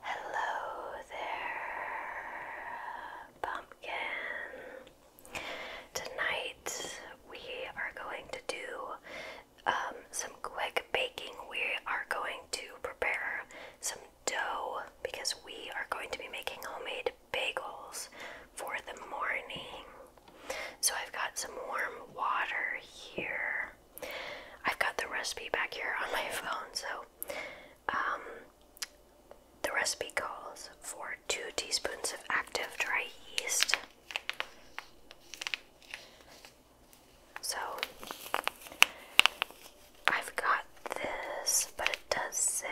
Hello there, pumpkin. Tonight we are going to do um, some quick baking. We are going to prepare some dough because we are going to be making homemade bagels for the morning. So I've got some warm water here. I've got the recipe back here on my phone, so um, the recipe calls for two teaspoons of active dry yeast. So I've got this, but it does say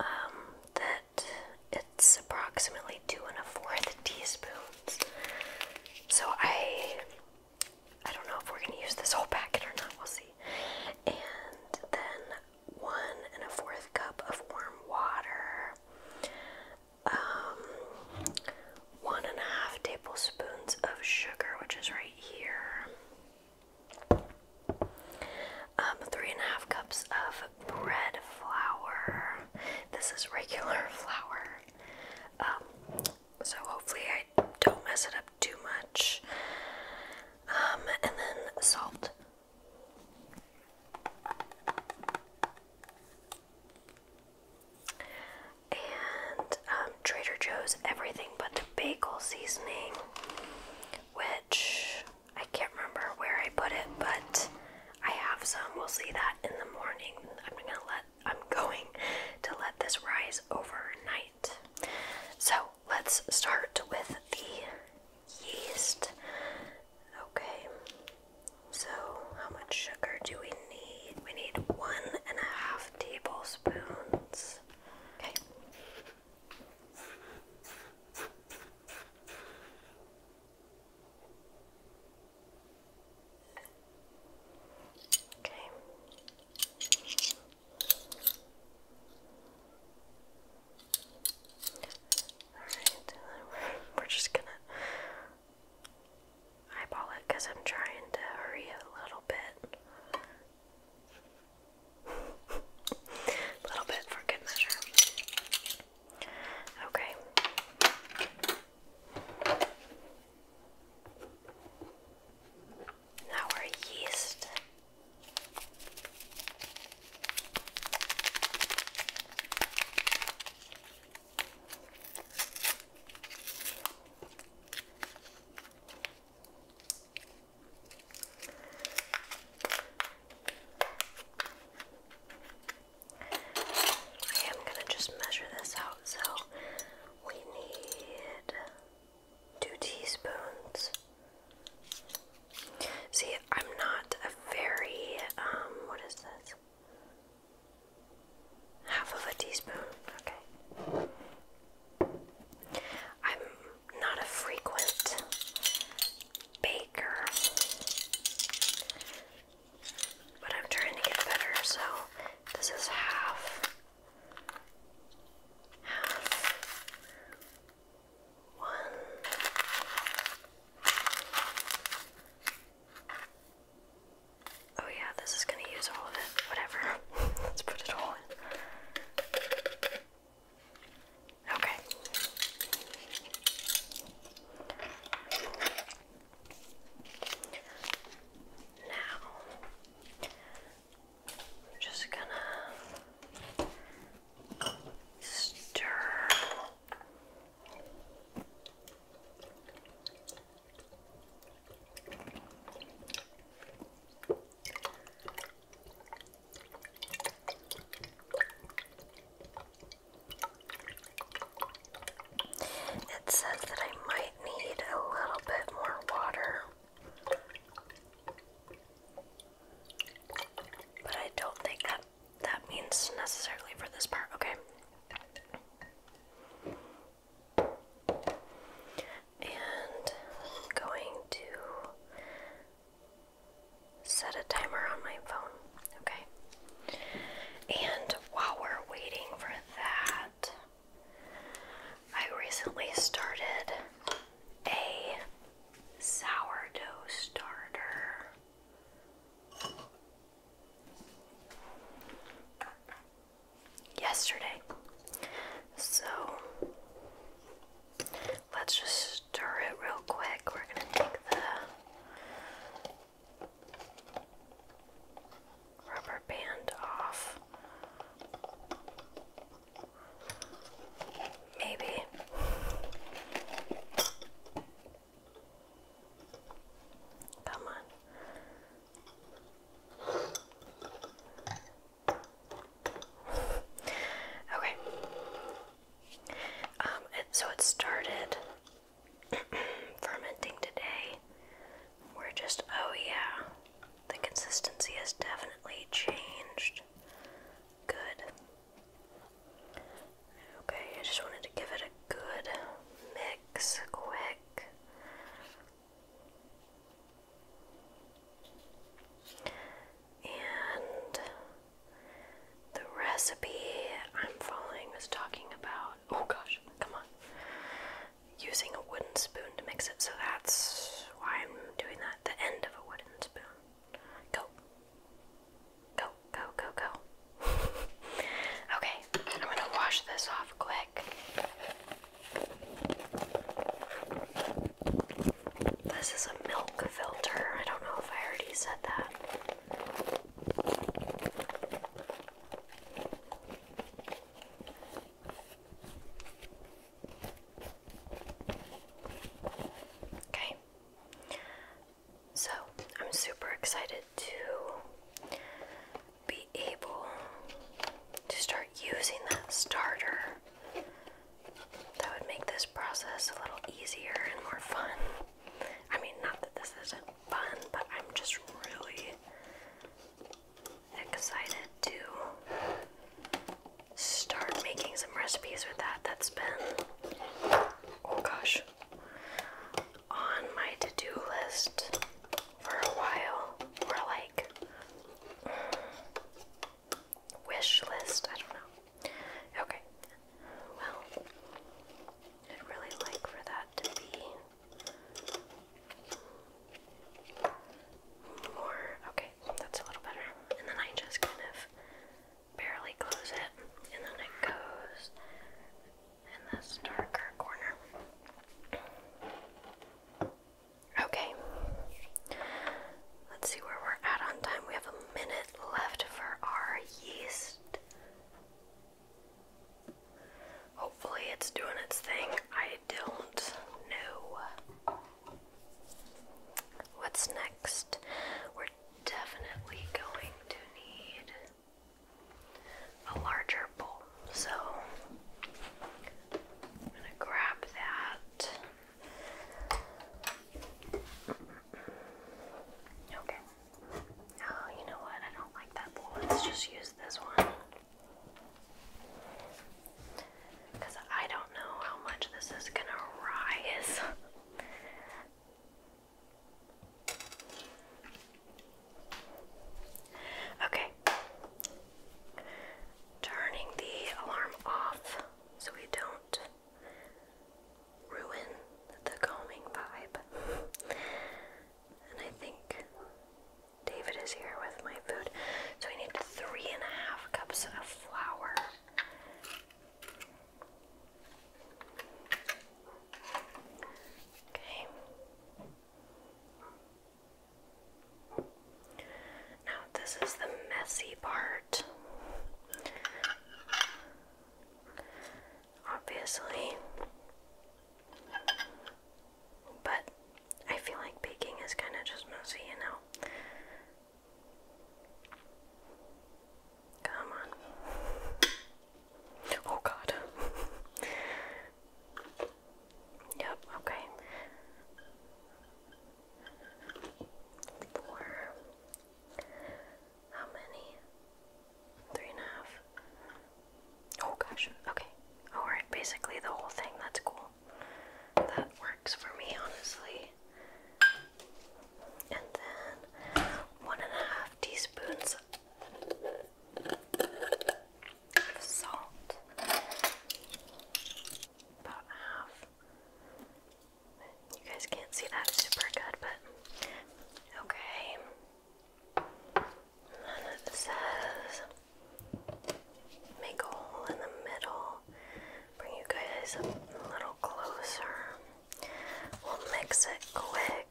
um, that it's approximately two and a fourth teaspoons. So I I don't know if we're going to use this whole packet or not, we'll see. And then one and a fourth cup of warm water, um, one and a half tablespoons of sugar, which is right here, um, three and a half cups of bread flour. This is regular flour. Um, so hopefully I don't mess it up too much. Um, and then salt. And um, Trader Joe's everything but the bagel seasoning, which I can't remember where I put it, but I have some. We'll see that in the morning. I'm gonna let I'm going to let this rise overnight. So let's start with the yeast. Okay, so how much sugar do we need? We need one and a half tablespoons. Okay. Okay. Alright, we're just gonna eyeball it because I'm trying to hurry a little bit. a little bit for good measure. Okay our yeast. I am going to just measure this out so we need two teaspoons. See, I'm not a very, um, what is this? Half of a teaspoon, okay. I'm not a frequent baker, but I'm trying to get better, so this is half has one Oh yeah, this is gonna use all of it. Whatever. Let's put it all in. Okay. Now, I'm just gonna stir. It says that I might might need a little bit more water. But I don't think that that means necessarily for this part. Okay. And going to set a timer on my phone. Okay. And while we're waiting for that, I recently started a sourdough starter. Yesterday. So let's just stir it real quick. We're going to take the rubber band off. Maybe. Come on. okay. Um, it, so it started fermenting today. We're just, oh yeah, the consistency has definitely changed. Good. Okay, I just wanted to give it a good mix quick. And the recipe I'm following is talking about. Oh gosh, come on using a wooden spoon to mix it, so that's why I'm doing that. The end of a wooden spoon. Go. Go, go, go, go. okay, I'm gonna wash this off quick. This is a milk filter. I don't know if I already said that. Okay. So, I'm super excited to be able to start using that starter. That would make this process a little easier and more fun. I mean, not that this isn't fun, but I'm just really excited to start making some recipes with that. That's been, oh gosh, on my to do list for a while, or like mm, wish list. I don't know. Okay, well, I'd really like for that to be more, okay, that's a little better. And then I just kind of barely close it, and then it goes in this darker corner. Okay, let's see where we're at on time. We have a minute left for our yeast. Hopefully, it's doing its thing. I don't know. What's next? We're definitely going to need a larger bowl. So I'm going to grab that. Okay. Oh, you know what? I don't like that bowl. Let's just use this one. Because I don't know how much this is going to rise. okay. Turning the alarm off so we don't ruin the combing vibe. And I think David is here with my food. So I need three and a half cups of flour. Okay. Now, this is the messy part. Obviously, but I feel like baking is kind of just messy, you know? Come on. Oh god. yep, okay. Four. How many? Three and a half. Oh gosh, okay. Alright, basically the whole thing, that's cool that works for me, honestly. And then one and a half teaspoons of salt, about half. You guys can't see that super good, but okay. And then it says. Make a hole in the middle. Bring you guys a little closer. We'll mix it quick.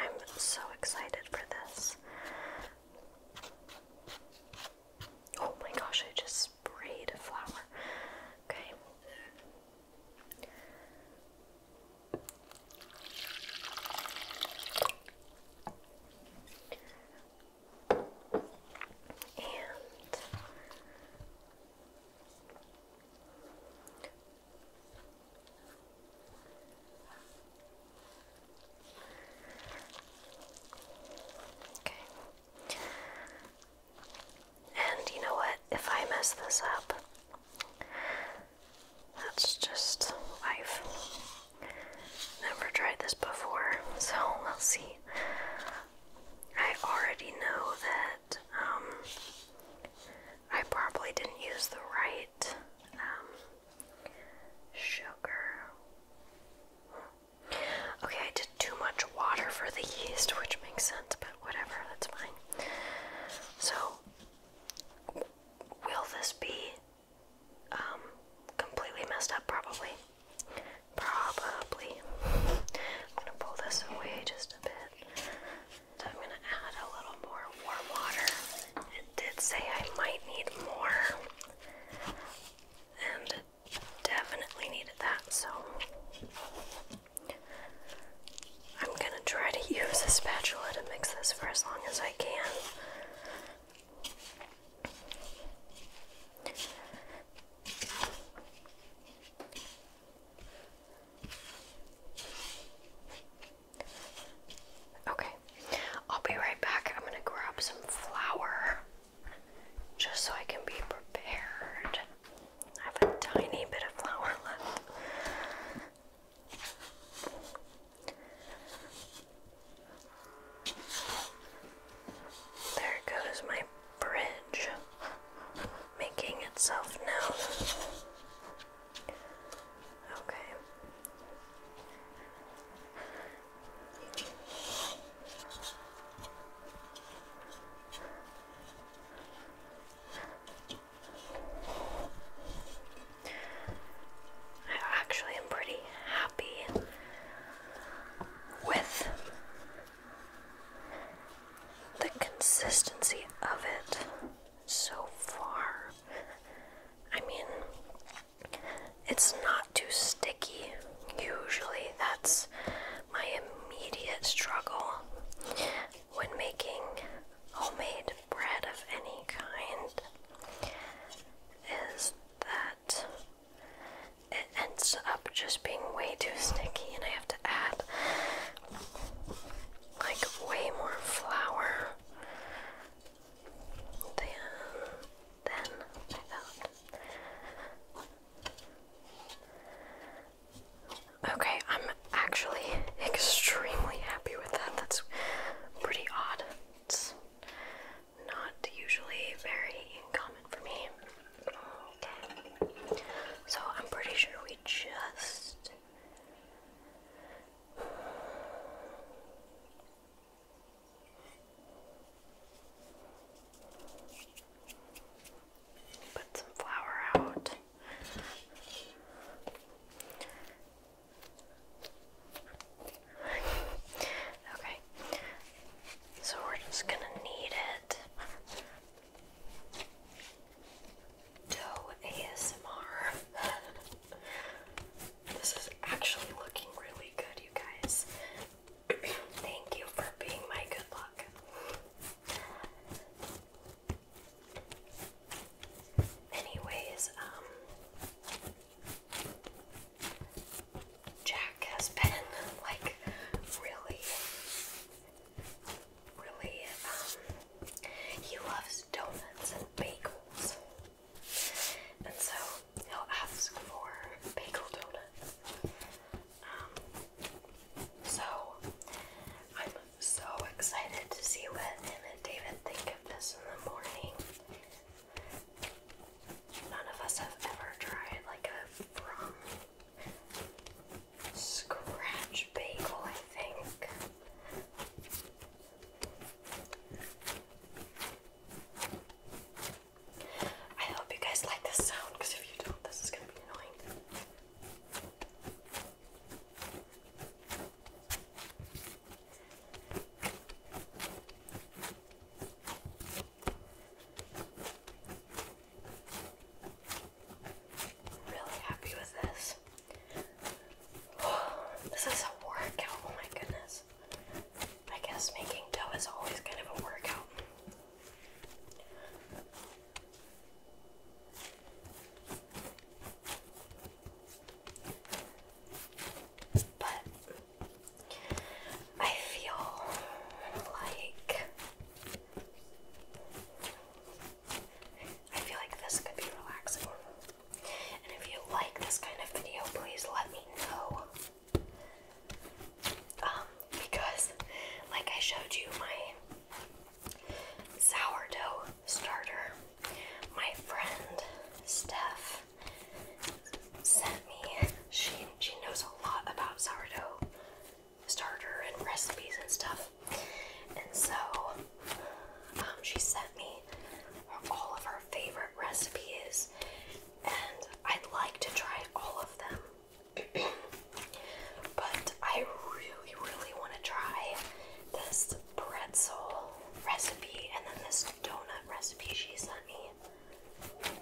I'm so excited for this. Oh my gosh, I just sprayed a flower. Okay. And Okay. And you know what? If I mess this up, that's just life. Never tried this before, so we'll see. I already know that um, I probably didn't use the right um, sugar. Okay, I did too much water for the yeast, which makes sense, but whatever, that's fine. So, will this be um, completely messed up, probably. Probably. I'm gonna pull this away just a bit. So I'm gonna add a little more warm water. It did say I might need more, and definitely needed that, so. I'm gonna gonna try to use a spatula to mix this for as long as I can. Okay, I'll be right back. I'm gonna grab some flour just so I can be prepared. I have a tiny bit of flour left. There goes my bridge making itself known. Okay. I actually am pretty happy with the consistency of it so far. I mean, it's not too sticky. Usually, that's my immediate struggle when making homemade bread of any kind is that it ends up just being way too sticky, and I have to add like way more flour than, than I thought. Okay, I'm actually extremely happy with that. That's pretty odd. It's not usually very common for me. So I'm pretty sure we just. Put some flour out okay. So we're just gonna knead it. Dough ASMR. this is actually looking really good, you guys. Thank you for being my good luck. Anyways, um, Jack has been like really, really, um, he loves donuts and bagels. And so he'll ask for bagel donuts. Um, so I'm so excited to see what him and David think of this in the morning. None of us have ever tried like a from scratch bagel, I think. I hope you guys like this sound because if you don't, this is going to be annoying. Really happy with this. this is a workout, oh my goodness. I guess making dough is always kind of a workout. But I feel like I feel like this could be relaxing. And if you like this kind of video, please let me know. Um, because like I showed you my sourdough starter, my friend Steph sent me. She she knows a lot about sourdough starter and recipes and stuff. And so um, she sent me all of her favorite recipes, and I'd like to try all of them. but I really, really want to try this pretzel recipe and then this donut recipe she sent me. Okay.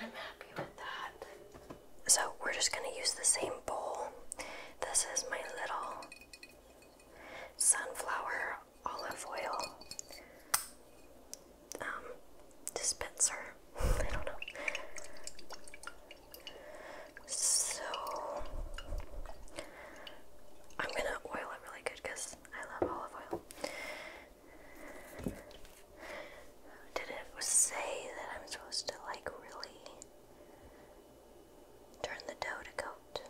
I'm happy with that. So, we're just going to use the same bowl. This is my little sunflower olive oil um, dispenser. I don't know. So I'm gonna oil it really good because I love olive oil. Did it say that I'm supposed to like really Turn the dough to coat.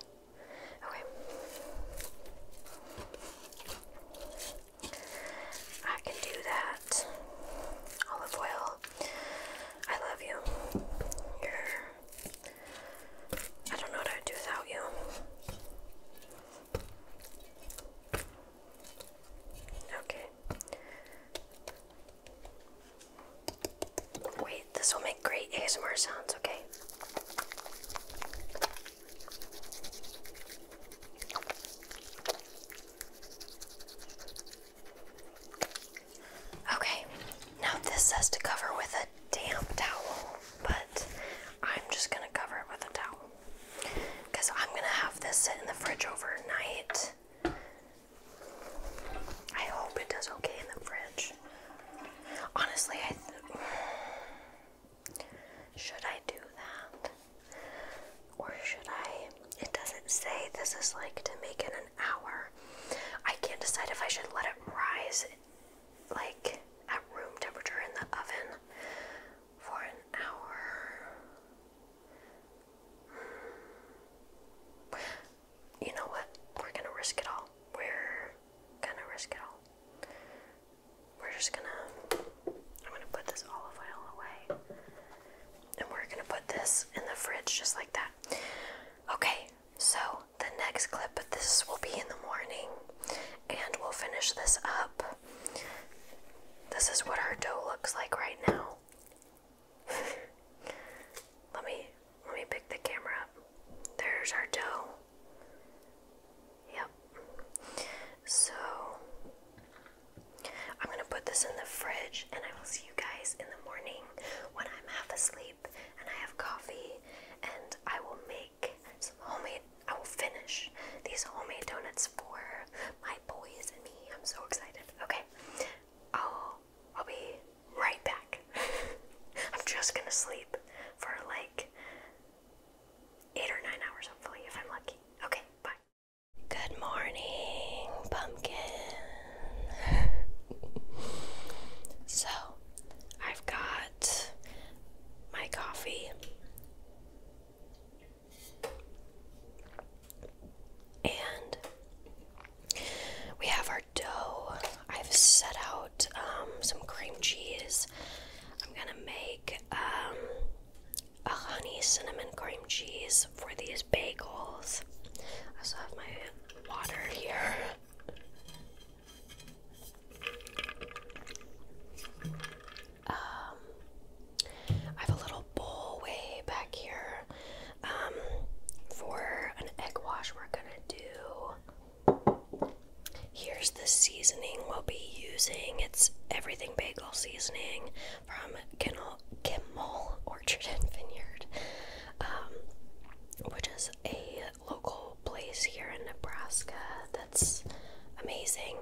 Okay. I can do that. Olive oil. I love you. You're. I don't know what I'd do without you. Okay. Wait, this will make great ASMR sounds, okay? Okay, now this says to cover with a damp towel, but I'm just gonna cover it with a towel. Because I'm gonna have this sit in the fridge overnight. I hope it does okay in the fridge. Honestly, I. should I do that? Or should I? It doesn't say this is like to make it an hour. I can't decide if I should let it rise like at room temperature in the oven for an hour. Hmm you know what? We're gonna risk it all. We're gonna risk it all. We're just gonna. I'm gonna put this olive oil away. And we're gonna put this in the fridge just like that. Okay, so the next clip of this will be in the morning. And we'll finish this up. This is what our dough looks like right now. let me let me pick the camera up. There's our dough. Yep. So I'm going to put this in the fridge and I will see you guys in the morning when I'm half asleep and I have coffee and I will make some homemade I will finish these homemade donuts for my boys and me. I'm so excited. Okay. I'll I'll be right back. I'm just gonna sleep for like eight or nine hours, hopefully, if I'm lucky. Okay, bye. Good morning, pumpkin. so, I've got my coffee. And we have our dough I've set out um, some cream cheese. I'm gonna make um, a honey cinnamon cream cheese for these bagels. I also have my water here. Um, I have a little bowl way back here for an egg wash. We're gonna do Here's the seasoning we'll be using. It's everything bagel seasoning from Kimmel, Orchard and Vineyard, um, which is a local place here in Nebraska that's amazing.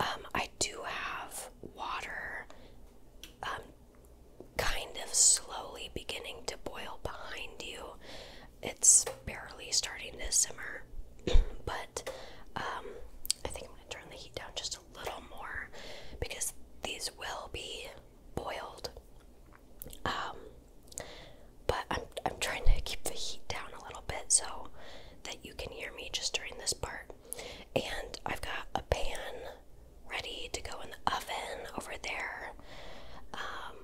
Um, I do have water um, kind of slowly beginning to boil behind you. It's barely starting to simmer, but um, I think I'm going to turn the heat down just a little more because these will be boiled. Um, but I'm I'm trying to keep the heat down a little bit so that you can hear me just during this part. And I've got a pan ready to go in the oven over there. Um,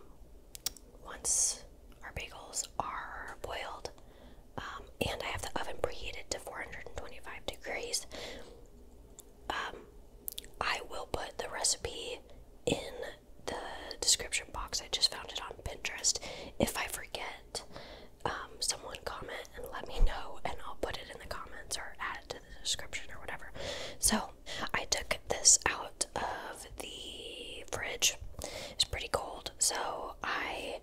once our bagels are boiled, um, and I have the oven preheated to 425 degrees. Um, I will put the recipe in the description box. I just found it on Pinterest. If I forget, um, someone comment and let me know, and I'll put it in the comments or add it to the description or whatever. So, I took this out of the fridge. It's pretty cold, so I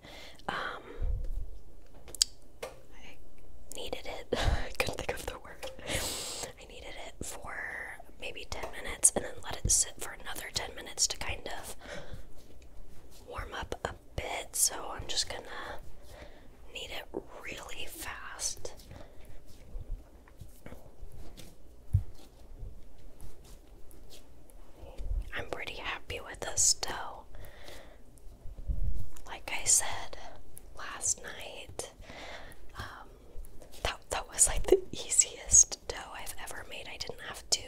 um, needed it. I couldn't think of the word. I needed it for maybe 10 minutes and then let it sit for another 10 minutes to kind of warm up a bit. So I'm just gonna knead it really fast. I'm pretty happy with this dough. Like I said last night, um, that, that was like the easiest dough I've ever made. I didn't have to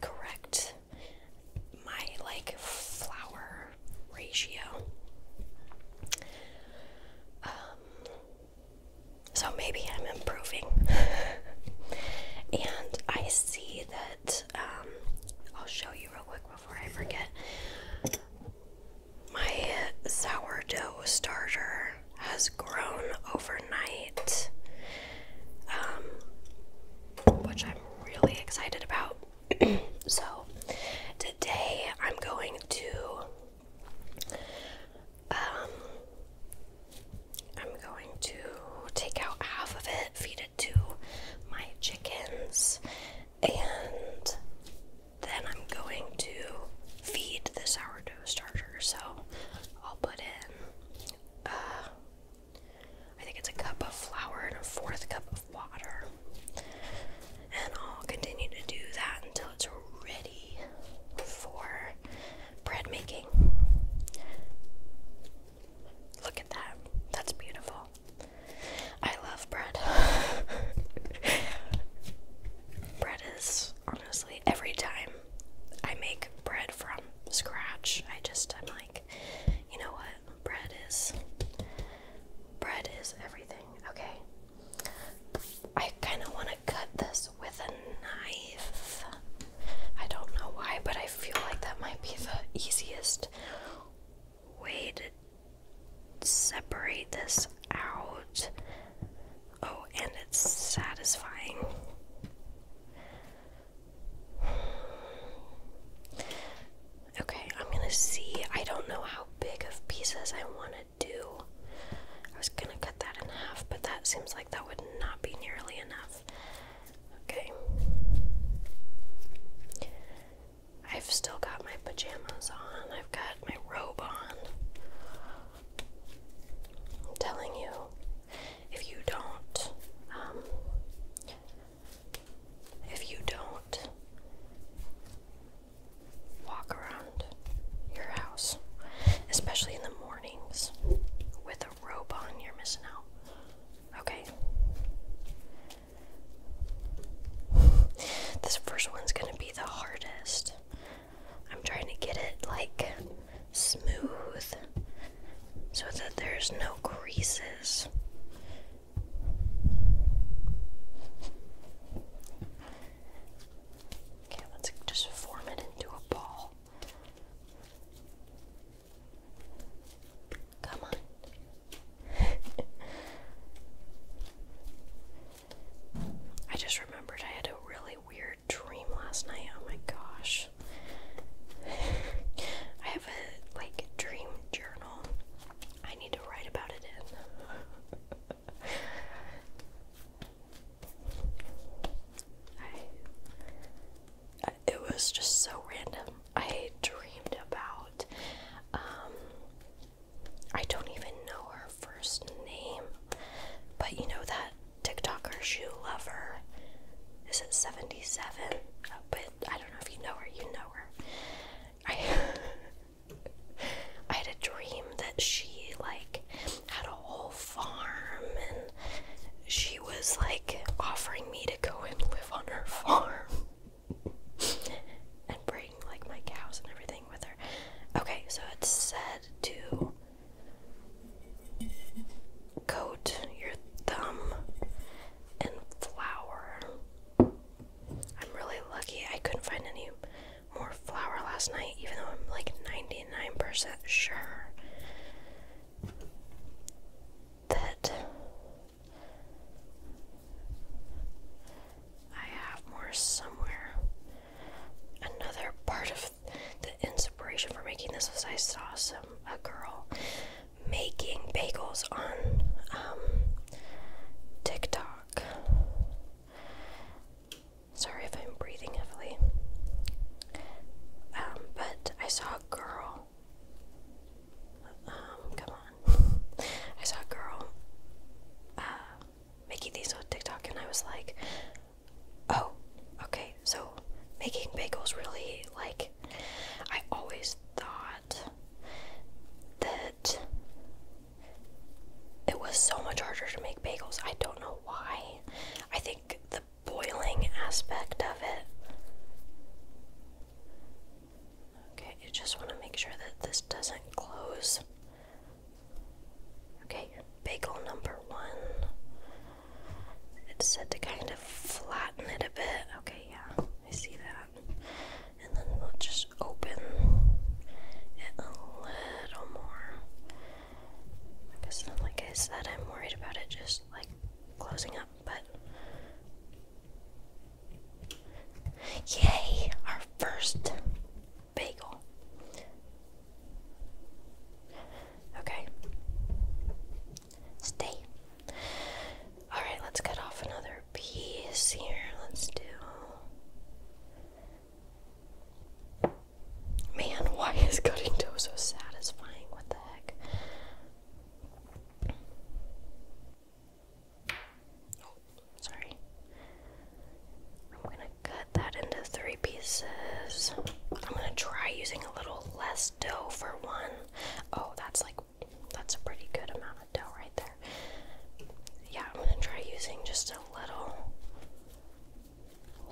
correct my like flour ratio. Um, so maybe I'm improving. and I see that, um, I'll show you real quick before I forget. My sourdough starter has grown overnight, um, which I'm really excited about. so today I'm going to um, I'm going to take out half of it, feed it to my chickens, and then I'm going to feed the sourdough starter. So I'll put in, uh, I think it's a cup of flour and a fourth cup of water. And I'll continue to do that until it's for bread making. Look at that. That's beautiful. I love bread. bread is honestly every time I make bread from scratch, I just I'm like, you know what? Bread is bread is everything. Okay. I kind of want to cut this with a knife. I don't know why, but I feel like that might be the easiest way to separate this out. Oh, and it's satisfying. Okay, I'm gonna see. I don't know how big of pieces I want to do. I was gonna cut that in half, but that seems like that would not be nearly enough. Okay. I've still got my pajamas on, I've got my robe on. I'm telling you, if you don't, um, if you don't walk around your house, especially in the mornings with a robe on, you're missing out. Okay. this first one's going to be the hardest. I'm trying to get it like smooth so that there's no creases. Okay, let's just form it into a ball. Come on. I just remembered I had a really weird dream last night. Oh my gosh. I have a like dream journal. I need to write about it in. it was just so random. I dreamed about, um, I don't even know her first name, but you know that TikToker shoe lover. Is it 77? Uh, but I don't know if you know her, you know her. I I had a dream that she like had a whole farm and she was like offering me to go and live on her farm and bring like my cows and everything with her. Okay, so it said to coat your thumb in flour. I'm really lucky I couldn't find any more flour last night, even though I'm like 99% sure that I have more somewhere. Another part of the inspiration for making this was I saw some a girl making bagels on um, TikTok. Sorry if I'm breathing heavily. Um, but I saw a girl. Um, come on. I saw a girl uh, making these on TikTok, and I was like, oh, okay, so making bagels really, like, I always thought that it was so much harder to make bagels. I don't know why. I think the boiling aspect of it. Okay, you just want to make sure that this doesn't close. Okay, bagel number one. It's said to kind of flatten it a bit. Okay, yeah, I see that. And then we'll just open it a little more. I guess like I said, I'm worried about it just like closing up, but. Yay! Our first bagel. Okay. Stay. Alright, let's cut off another piece here. Let's do Man, why is cutting dough so satisfying? What the heck? Oh, sorry. I'm gonna cut that into three pieces. I'm gonna try using a little less dough for one. Oh, that's like that's a pretty good amount of dough right there. Yeah, I'm gonna try using just a little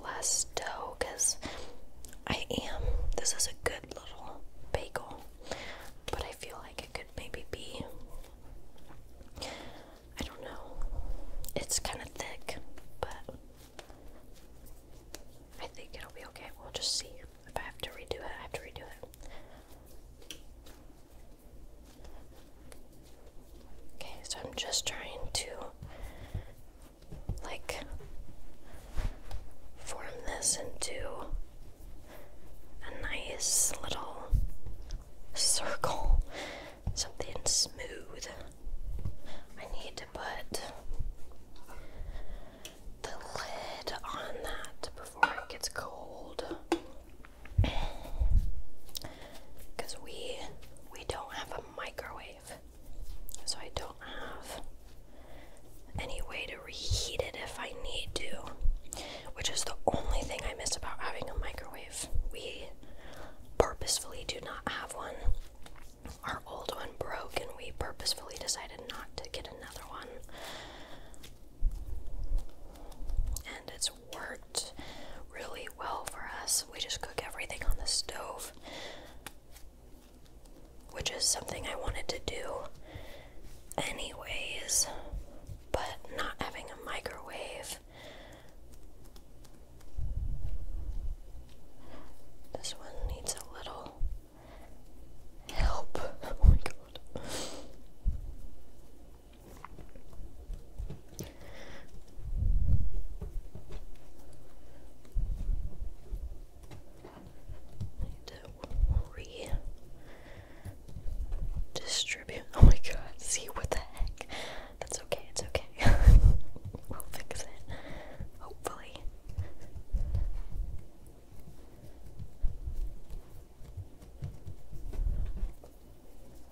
less dough because I am. This is a good little bagel, but I feel like it could maybe be. I don't know. It's kind of thick, but I think it'll be okay. We'll just see. If I have to redo it, I have to redo it. Okay, so I'm just trying to like form this into a nice little circle, something smooth. I need to put the lid on that before it gets cold. Cuz we we don't have a microwave so I don't have any way to reheat it if I need to, which is the only thing I miss about having a microwave. We purposefully do not have one. Our old one broke, and we purposefully decided not to get another one. And it's worked really well for us. We just cook everything on the stove which is something I wanted to do anyways, but not having a microwave. This one needs a little help. Oh my god to re distribute. Oh my god, see what the heck? That's okay, it's okay. we'll fix it. Hopefully.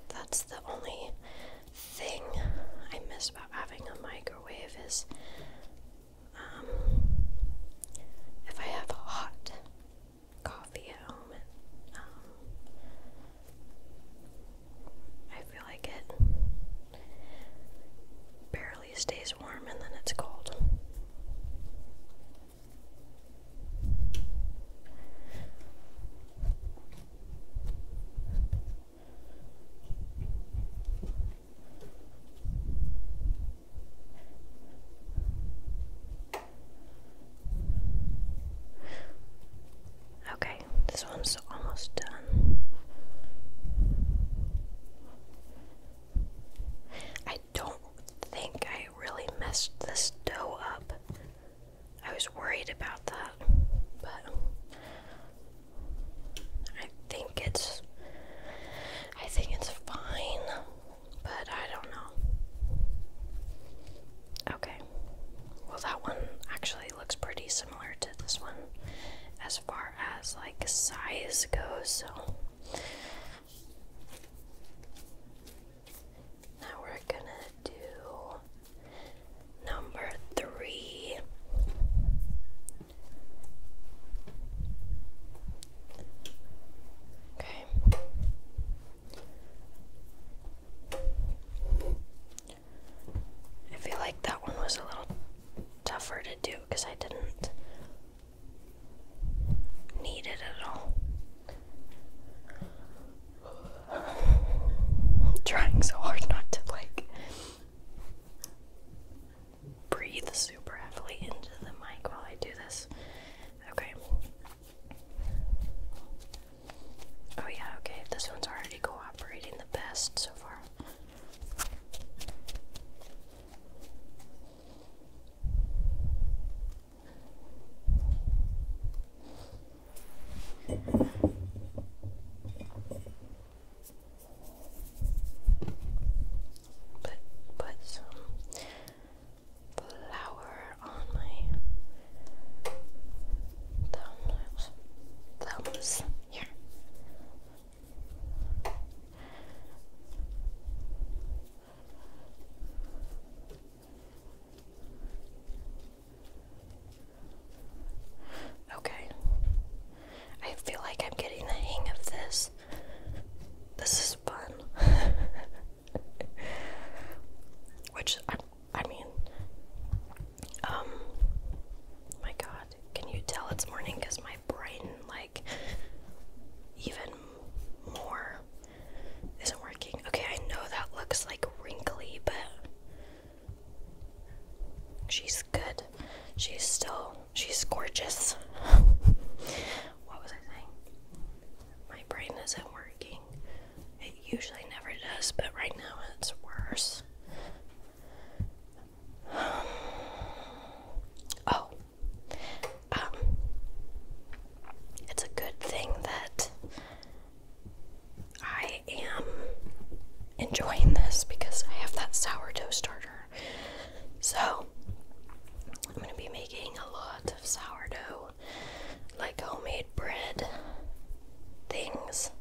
That's the only thing I miss about having a microwave is um, if I have a hot coffee at home, um, I feel like it barely stays warm and then it's cold. Okay, this one's almost done. I don't think I really messed this dough up. I was worried about that, but I think it's I think it's fine, but I don't know. Okay. Well, that one actually looks pretty similar to this one as far as like size goes. So now we're going to do Number three. Okay. I feel like that one was a little tougher to do because I didn't need it at all. trying so hard not to like breathe super heavily into the mic while I do this. Okay. Oh, yeah, okay. This one's already cooperating the best so far. But put some flour on my thumbs. Thumbs here. Okay. I feel like I'm getting the hang of this. This is fun. Which I, I mean, um, my God, can you tell it's morning? Cause my brain, like, even more isn't working. Okay, I know that looks like wrinkly, but She's good. She's still, she's gorgeous. what was I saying? My brain isn't working. It usually never does, but right now it's worse. oh, um, it's a good thing that I I am enjoying this because I have that sourdough starter. So I'm going to be making a lot of sourdough, like homemade bread things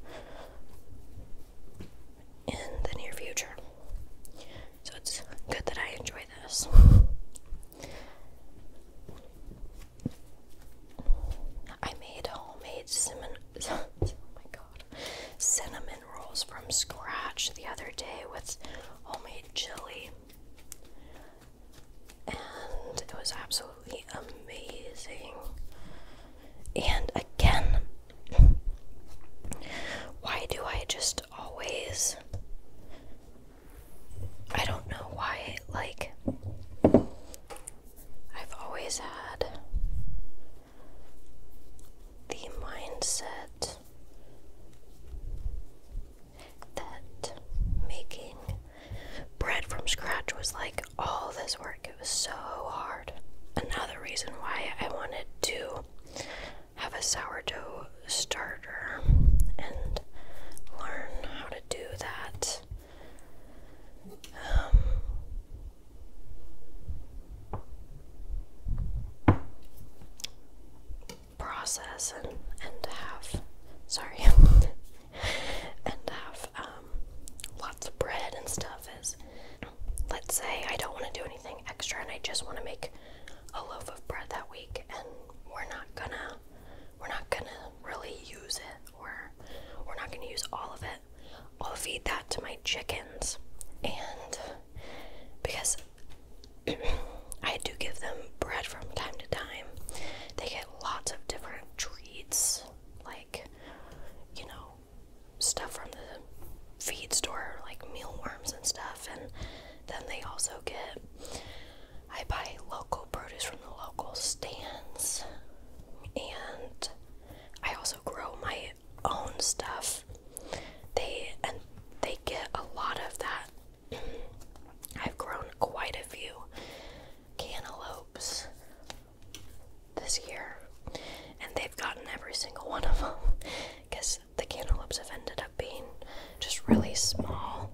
in the near future. So it's good that I enjoy this. I made homemade cinnamon. oh my god. Cinnamon rolls from scratch the other day with homemade chili. And it was absolutely amazing. And again, why do I just always. I don't know why, like, I've always had the mindset that making bread from scratch was like all this work. It was so hard. Another reason why I wanted to have a sourdough starter and learn how to do that um, process and and have sorry and have um lots of bread and stuff is let's say I don't want to do anything extra and I just want to make a loaf of bread that week and we're not gonna we're not gonna really use it or we're not gonna use all of it I'll feed that to my chickens. And because I do give them bread from time to time, they get lots of different treats, like, you know, stuff from the feed store, like mealworms and stuff. And then they also get, I buy local produce from the local stands. And I also grow my own stuff they and they get a lot of that. I've grown quite a few cantaloupes this year, and they've gotten every single one of them because the cantaloupes have ended up being just really small.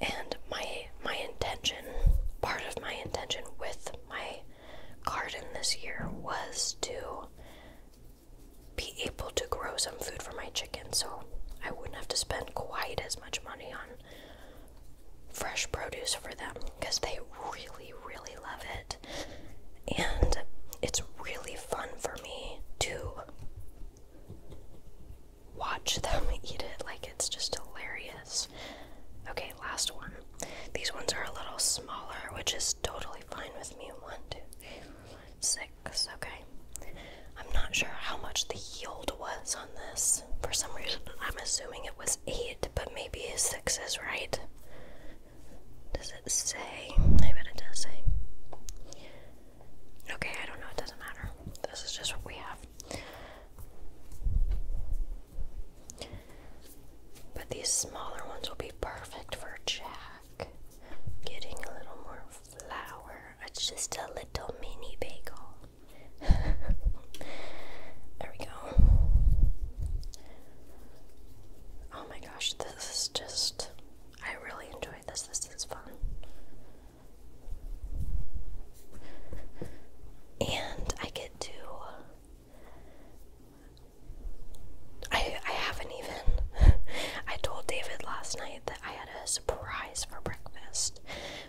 And my my intention, part of my intention with my garden this year was to be able to grow some food for my chickens, so I wouldn't have to spend quite as much money on fresh produce for them because they really, really love it. And it's really fun for me to watch them eat it. Like, it's just hilarious. Okay, last one. These ones are a little smaller, which is totally fine with me. One, two, six. Okay. I'm not sure how much the yield was on this. For some reason, I'm assuming it was eight, but maybe six is right. Does it say? I it does say. Okay, I don't know. It doesn't matter. This is just what we have. But these smaller ones will be perfect for Jack. Getting a little more flour. It's just a little mini bagel. there we go. Oh my gosh, this is just. I really enjoyed this. This is fun. And I get to I I haven't even. I told David last night that I had a surprise for breakfast,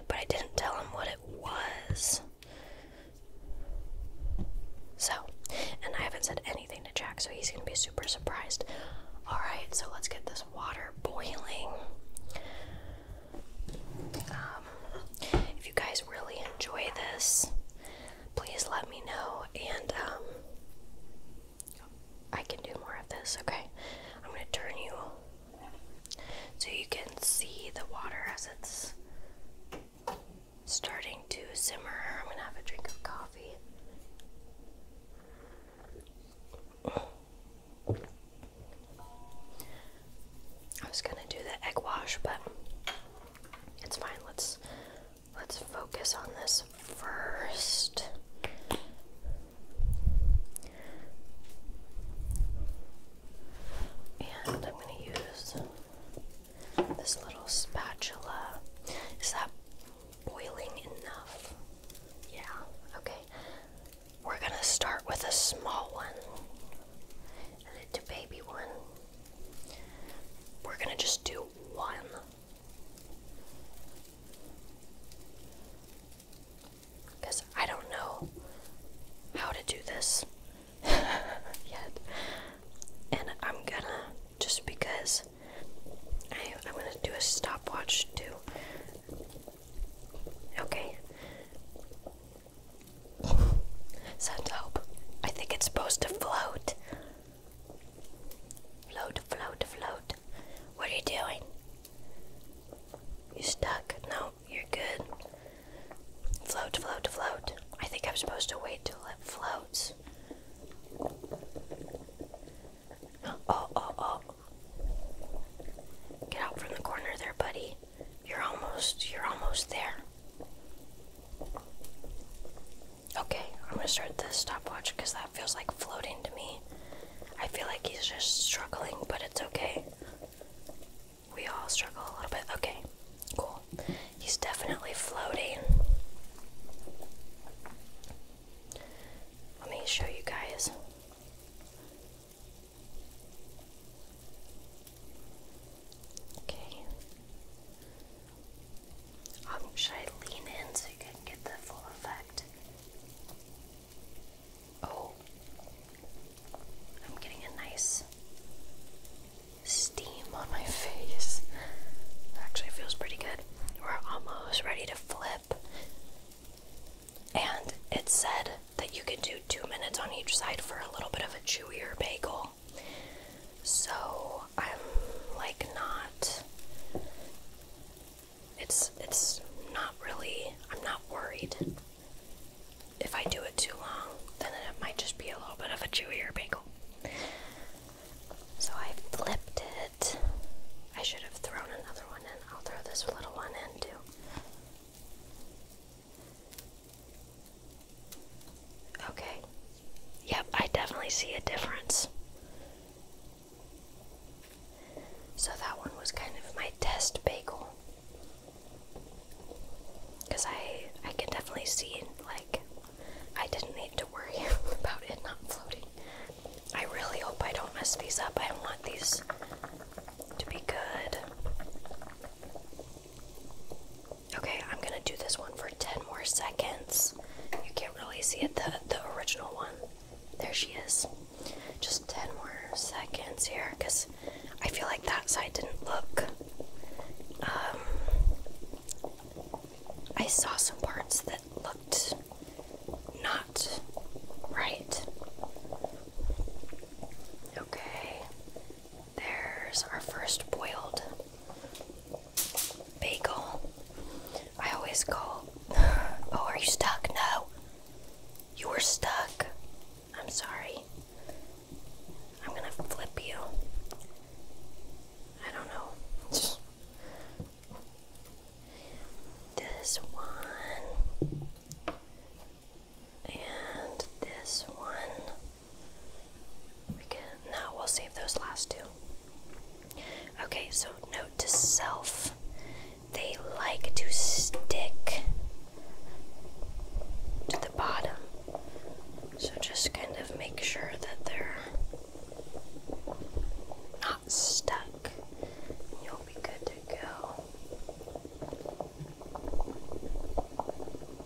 but I didn't tell him what it was. So, and I haven't said anything to Jack, so he's gonna be super surprised. Alright, so let's get this water boiling. Um, if you guys really enjoy this, please let me know and um I can do more of this, okay? I'm gonna turn you so you can see the water as it's starting to simmer. I'm gonna have a drink of coffee. I was gonna do the egg wash, but it's fine. Let's Let's focus on this first. And I'm going to use this little spatula. Is that boiling enough? Yeah, okay. We're going to start with a small one a baby one. We're gonna just do one. Because I don't know how to do this yet. And I'm gonna, just because I, am gonna do a stopwatch too. Okay. So dope. I think it's supposed to float. Float, float, float. What are you doing? You are stuck? No, you're good. Float, float, float. I think I'm supposed to wait till it floats. Oh, oh, oh. Get out from the corner there, buddy. You're almost, you're almost there. Okay, I'm gonna start the stopwatch because that feels like floating to me. I feel like he's just struggling, but it's okay. We all struggle a little bit. Okay, cool. He's definitely floating. Let me show you guys. Okay. Um, should I lean in so you can get the full effect? Oh, I'm getting a nice steam on my face. Actually, feels pretty good. We're almost ready to flip. And it said that you can do two minutes on each side for a little bit of a chewier bagel. So I'm like not it's it's not really I'm not worried. If I do it too long, then it might just be a little bit of a chewier bagel. So I flipped it. I should have thrown another one in. I'll throw this little one in too. Okay. Yep, I definitely see a difference. So that one was kind of my test bagel. Cause I I can definitely see like I didn't need to worry about it not floating. I really hope I don't mess these up. I want these to be good. Okay, I'm gonna do this one for 10 more seconds. You can't really see it, the, the original one. There she is. Just 10 more seconds here, because I feel like that side didn't look. Um, I saw some parts that looked not right. Okay, there's our first boiled. Bagel. I always go. Oh, are you stuck? No. You were stuck. I'm sorry. I'm gonna flip you. I don't know. This one. And this one. We can now we'll save those last two. Okay, so note to self. They like to stick to the bottom. So just kind of make sure that they're not stuck. You'll be good to go.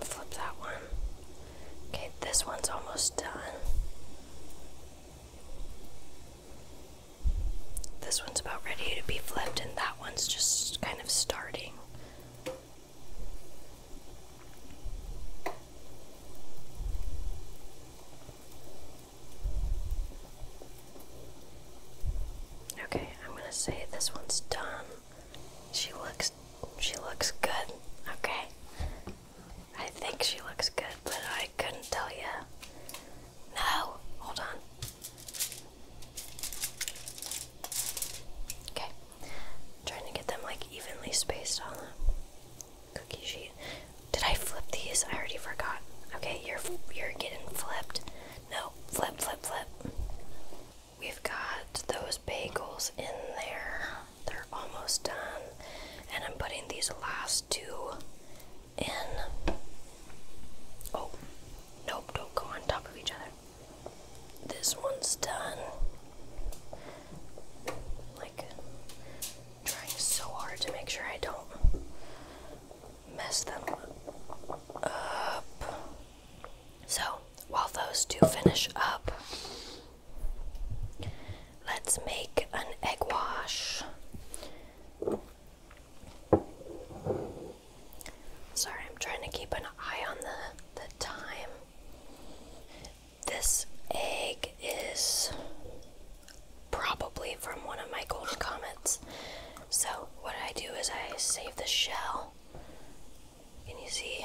Flip that one. Okay, this one's almost done. This one's about ready to be flipped, and that one's just kind of starting. Okay, I'm going to say this one's done. She looks she looks good. Okay. I think she looks good, but I couldn't tell you. No, hold on. Okay. trying to get them like evenly spaced on the cookie sheet. Did I flip these? I already forgot. Okay, you're you're getting flipped. No, flip, flip, flip. We've got those bagels in there. They're almost done. And I'm putting these last two in. Oh, nope, don't go on top of each other. This one's done. Like, trying so hard to make sure I don't mess them up. So, while those two finish up, let's make an egg wash. Sorry, I'm trying to keep an eye on the, the time. This egg is probably from one of my golden comets. So, what I do is I save the shell wall. Can you see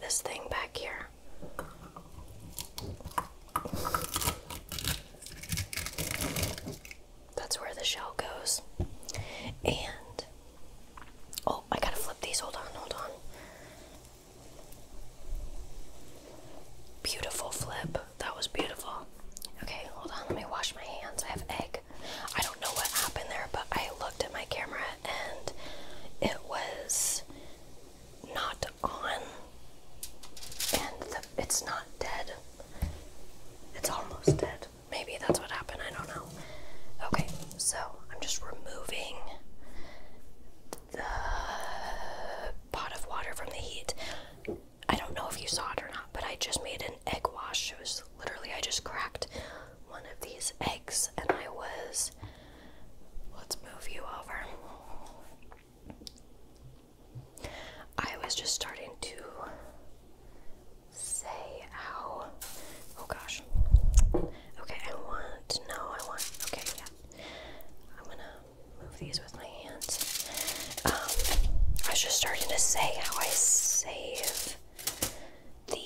this thing back here? That's where the shell goes. And oh, I gotta flip these. Hold on, hold on. Beautiful flip. That was beautiful. Okay, hold on. Let me wash my hands. I have egg. I don't know what happened there, but I looked at my camera and it was not on, and it's not dead. It's almost dead. Maybe that's what happened. I don't know. Okay, so I'm just removing the pot of water from the heat. I don't know if you saw it or not, but I just made an egg wash. It was literally, I just cracked one of these eggs and I was. Let's move you over. I was just starting to say how. Oh gosh. Okay, I want. No, I want. Okay, yeah. I'm gonna move these with my hands. Um, I was just starting to say how I save the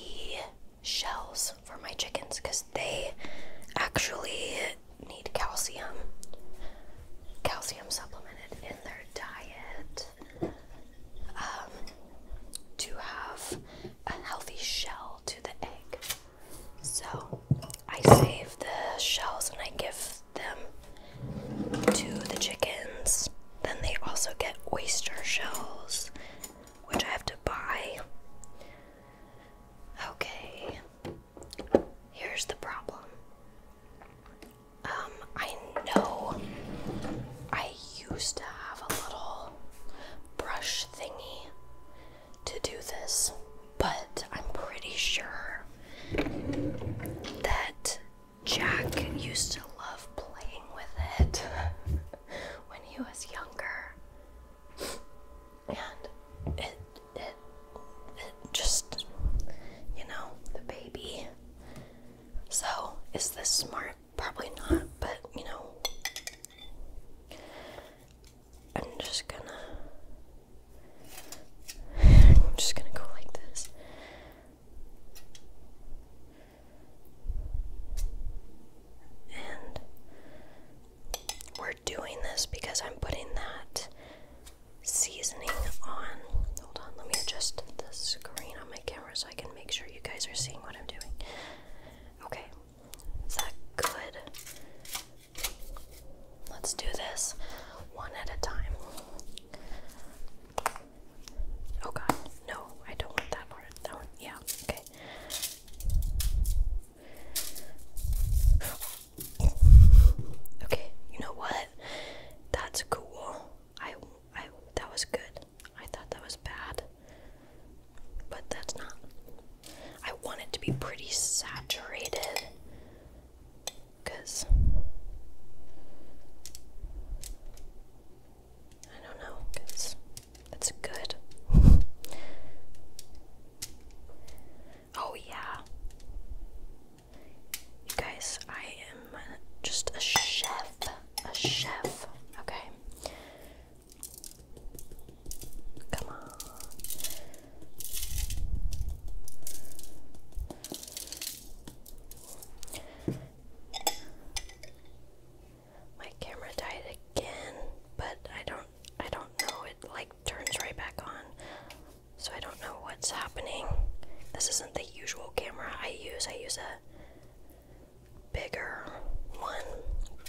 shells for my chickens because they actually need calcium, calcium supplemented in their diet um, to have a healthy shell to the egg. So I save the shells and I give them to the chickens then they also get oyster shells, which I have to buy. Okay, here's the problem. Um, I know I used to have a little brush thingy to do this, but I'm pretty sure that Jack used to love playing with it when he was younger. And it, it, it just, you know, the baby. So, is this smart? Probably not, but you know, I'm just gonna, I'm just gonna go like this. And we're doing this because I'm putting that seasoning on. Hold on, let me adjust the screen on my camera so I can make sure you guys are seeing what I'm doing. Okay, is that good? Let's do this one at a time. Oh god, no, I don't want that part. That one, yeah, okay. Okay, you know what? That's cool. I, I, that was good. I thought that was bad, but that's not. I want it to be pretty saturated, cause I don't know, because it's good. oh, yeah. You guys, I am just a chef. A chef. Okay. Come on. My camera died again, but I don't I don't know it like turns right back on. So I don't know what's happening. This isn't the usual camera I use. I use a bigger one,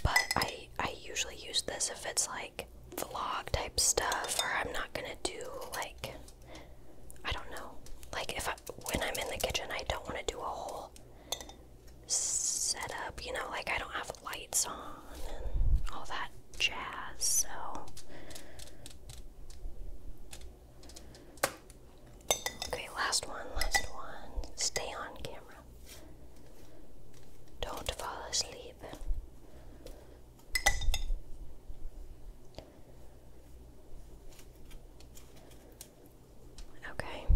but I I usually use this if it's like vlog type stuff or I'm not going to do like I don't know. Like if I, when I'm in the kitchen, I don't want to do a whole set up, you know, like I don't have lights on and all that jazz, so Okay, last one, last one. Stay on camera. Don't fall asleep. Okay.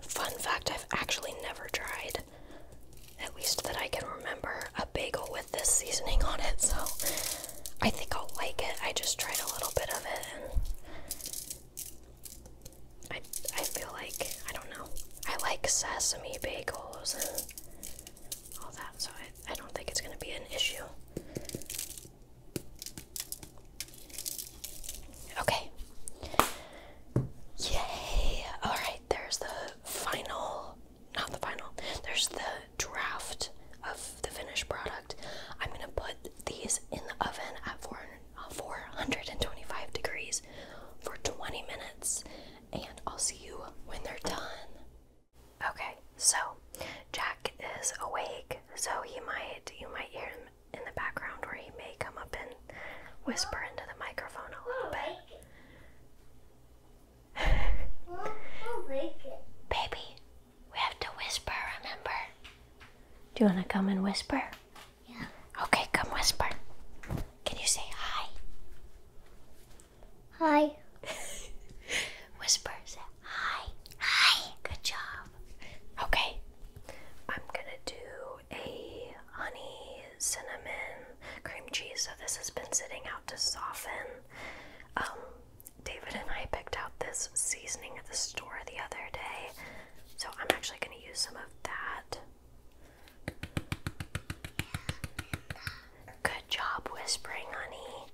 Fun fact I've actually never tried, at least that I can remember, a bagel with this seasoning on it, so I think I'll like it. I just tried a little bit of it and. I, I feel like, I don't know, I like sesame bagels and all that, so I, I don't think it's going to be an issue. Okay. Yay! Alright, there's the final, not the final, there's the draft of the finished product. I'm gonna put these in the oven at 425 uh, degrees for 20 minutes, and I'll see you when they're done. Okay, so Jack is awake, so you might you might hear him in the background where he may come up and whisper into the microphone a little bit. Baby, we have to whisper, remember? Do you wanna come and whisper? Yeah. Okay, come whisper. Can you say hi? Hi hi. Whisper, hi. Hi. Good job. Okay. I'm gonna do a honey cinnamon cream cheese. So this has been sitting out to soften. Um, David and I picked out this seasoning at the store the other day. So I'm actually gonna use some of that. Good job whispering, honey.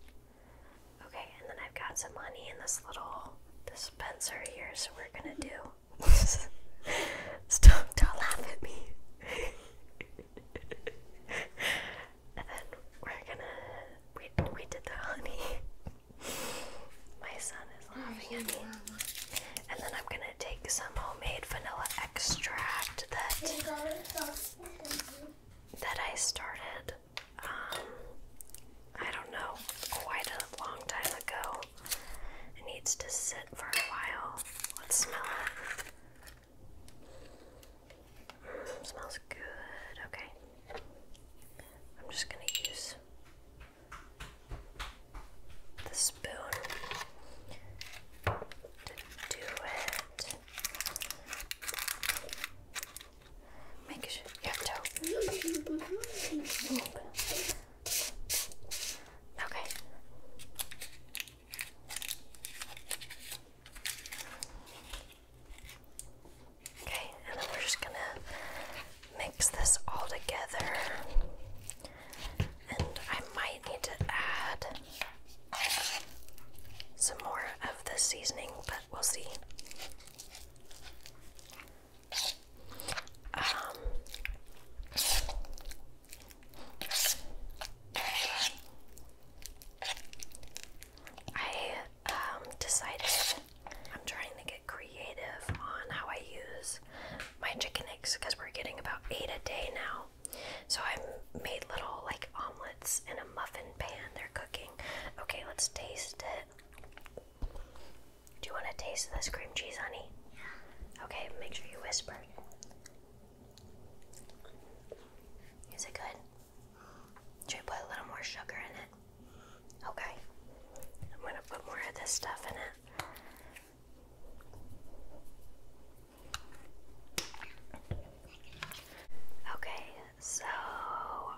Okay, and then I've got some honey in this little dispenser here, so we're gonna do. Stop, don't laugh at me. and then we're gonna. We, we did the honey. My son is oh, laughing at me. And then I'm gonna take some homemade vanilla extract that that I started um, I don't know, quite a long time ago. It needs to sit for a while. Let's smell it. Mm, smells good. Okay. I'm just going to use the spoon to do it. Make sure you have Okay. Okay, and then we're just gonna mix this all together. And I might need to add some more of the seasoning, but we'll see. Um, I um, decided I'm trying to get creative on how I use my chicken eggs because we're getting about eight a day now. So I made little like omelet in a muffin pan they're cooking. Okay, let's taste it. Do you want to taste this cream cheese, honey? Yeah. Okay, make sure you whisper. Is it good? Should we put a little more sugar in it? Okay. I'm going to put more of this stuff in it. Okay, so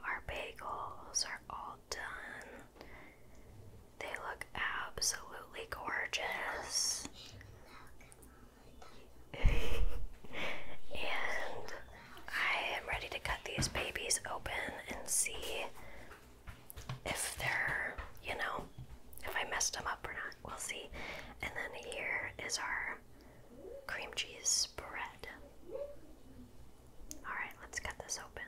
our bagels are all done. They look absolutely gorgeous. and I am ready to cut these babies open and see if they're, you know, if I messed them up or not. We'll see. And then here is our cream cheese spread. Alright, let's cut this open.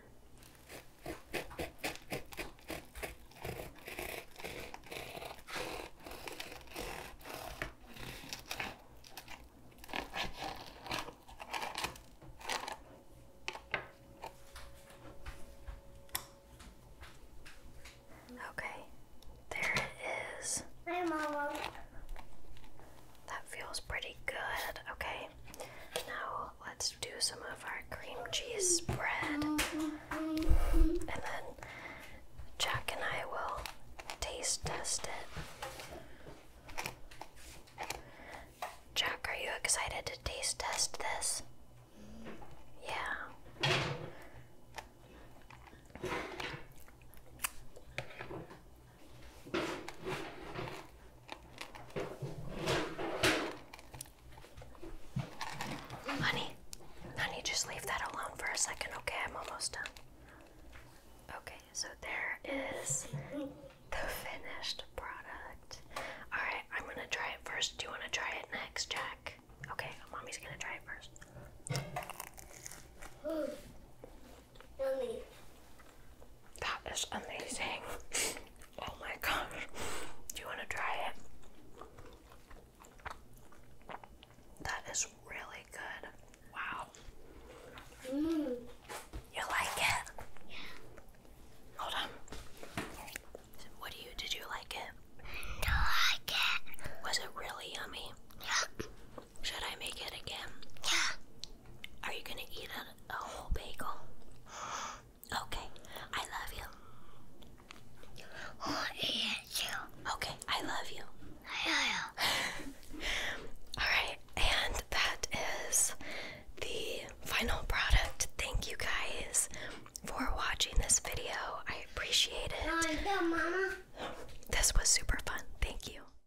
Okay, there it is. Hi, Mama. That feels pretty good. Okay, now let's do some of our cream cheese spread. And then Jack and I will taste test it. Jack, are you excited to taste test this? Yeah. Honey, honey, just leave that alone for a second, okay? I'm almost done. Okay, so there is the finished product. Alright, I'm gonna try it first. Do you wanna try it next, Jack? Okay, mommy's gonna try it first. That is amazing. oh my gosh. Do you want to try it? That is really good. Wow. Mm. You like it? Yeah. Hold on. What do you did you like it? I like it. Was it really yummy? Yeah. Should I make it again? Yeah. Are you gonna eat a, whole bagel? Okay. I love you. Oh, yes, you. Okay. I love you. I love you. All right. And that is the final product. Thank you guys for watching this video. I appreciate it. Oh, this was super fun. Thank you.